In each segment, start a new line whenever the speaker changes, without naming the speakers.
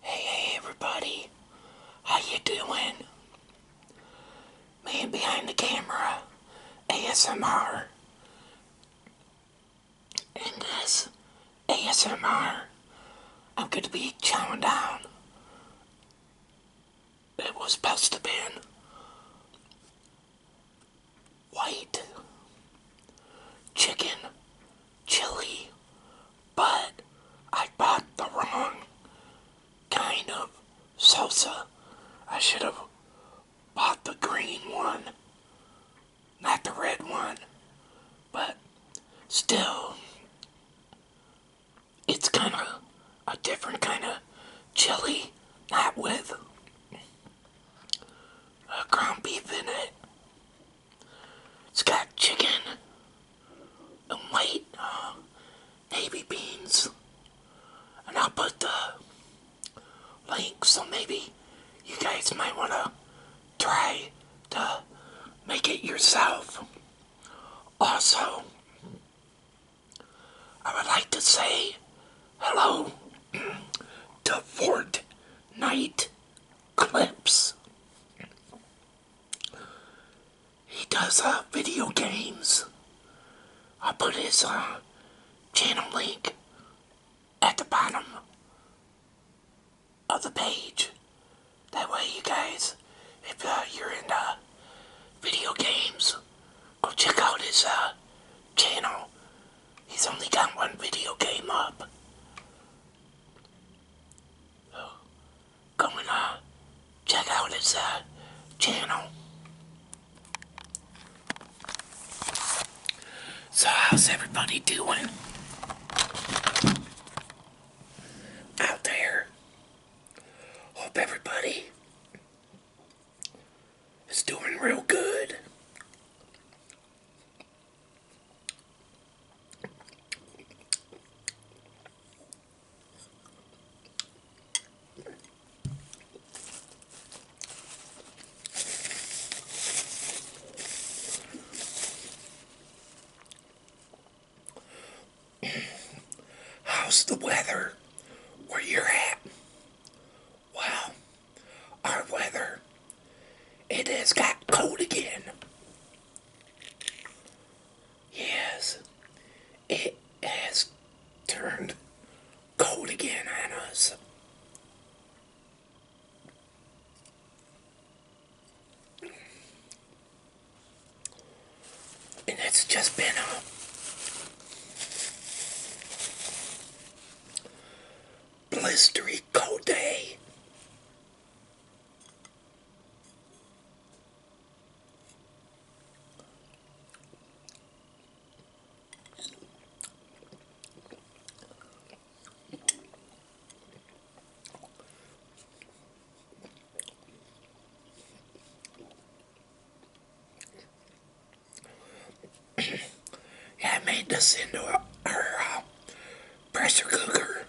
Hey, everybody. How you doing? Man behind the camera, ASMR. In this ASMR, I'm going to be chowing down. It was supposed to be white chicken chili, but I bought the wrong kind of salsa. I should have bought the green one, not the red one, but still, it's kind of a different kind of chili, not with ground beef in it. It's got chicken and white navy uh, beans. And I'll put the link so maybe you guys might want to try to make it yourself. Also, I would like to say hello to Fort Night clips. He does uh, video games. i put his uh, channel link at the bottom of the page. That way you guys, if uh, you're into video games, go check out his uh, channel. He's only got one video game up come and uh, check out his uh, channel. So how's everybody doing out there? Hope everybody is doing real good. How's the weather where you're at? Wow, our weather it has got cold again. Yes, it has turned cold again on us. And it's just been a blistery cold day. I made this into a, uh, pressure cooker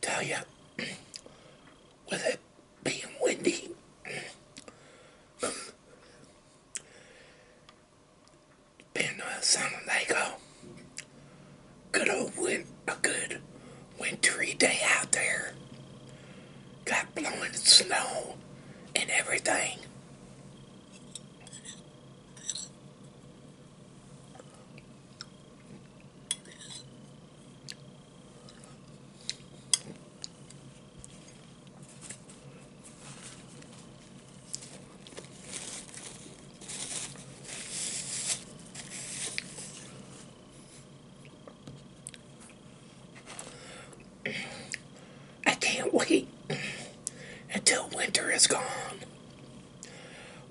tell you, with it being windy. Been uh, sounding like a good old wind, a good wintry day out there. Got blowing snow and everything. I can't wait until winter is gone.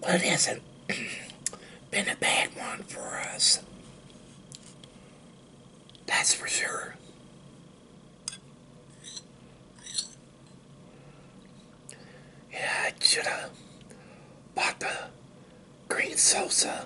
Well, it hasn't been a bad one for us. That's for sure. Yeah, I should have bought the green salsa.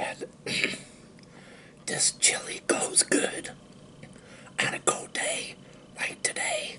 And this chili goes good on a cold day like today.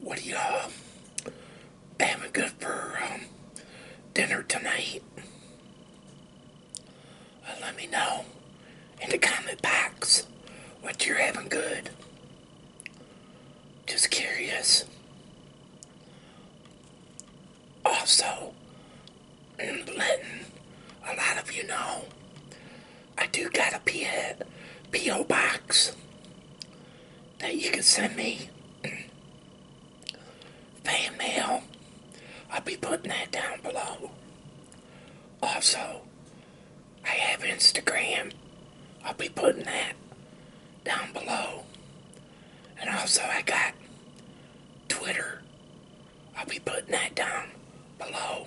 What are you uh, um, having good for um, dinner tonight? Uh, let me know in the comment box what you're having good. Just curious. Also, and letting a lot of you know I do got a PO, box that you can send me fan mail. I'll be putting that down below. Also, I have Instagram. I'll be putting that down below. And also I got Twitter I'll be putting that down below.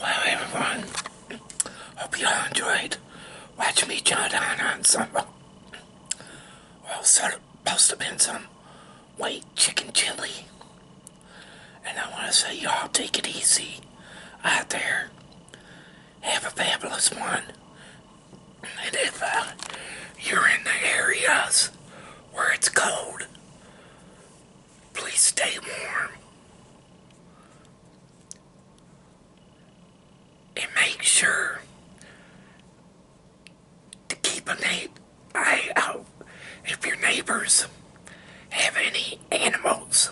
Well, everyone, hope you all enjoyed. Watch me chow down on some, well, sort of, supposed to have been some white chicken chili. And I want to say, y'all take it easy out there have a fabulous one. And if uh, you're in the areas where it's cold, please stay warm. And make sure to keep an eye out uh, if your neighbors have any animals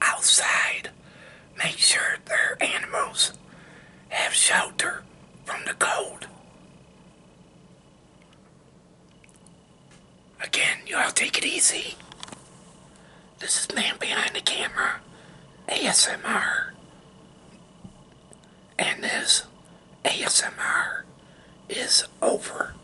outside. Make sure their animals have shelter from the cold. Again, y'all take it easy. This is Man Behind the Camera ASMR. And this ASMR is over.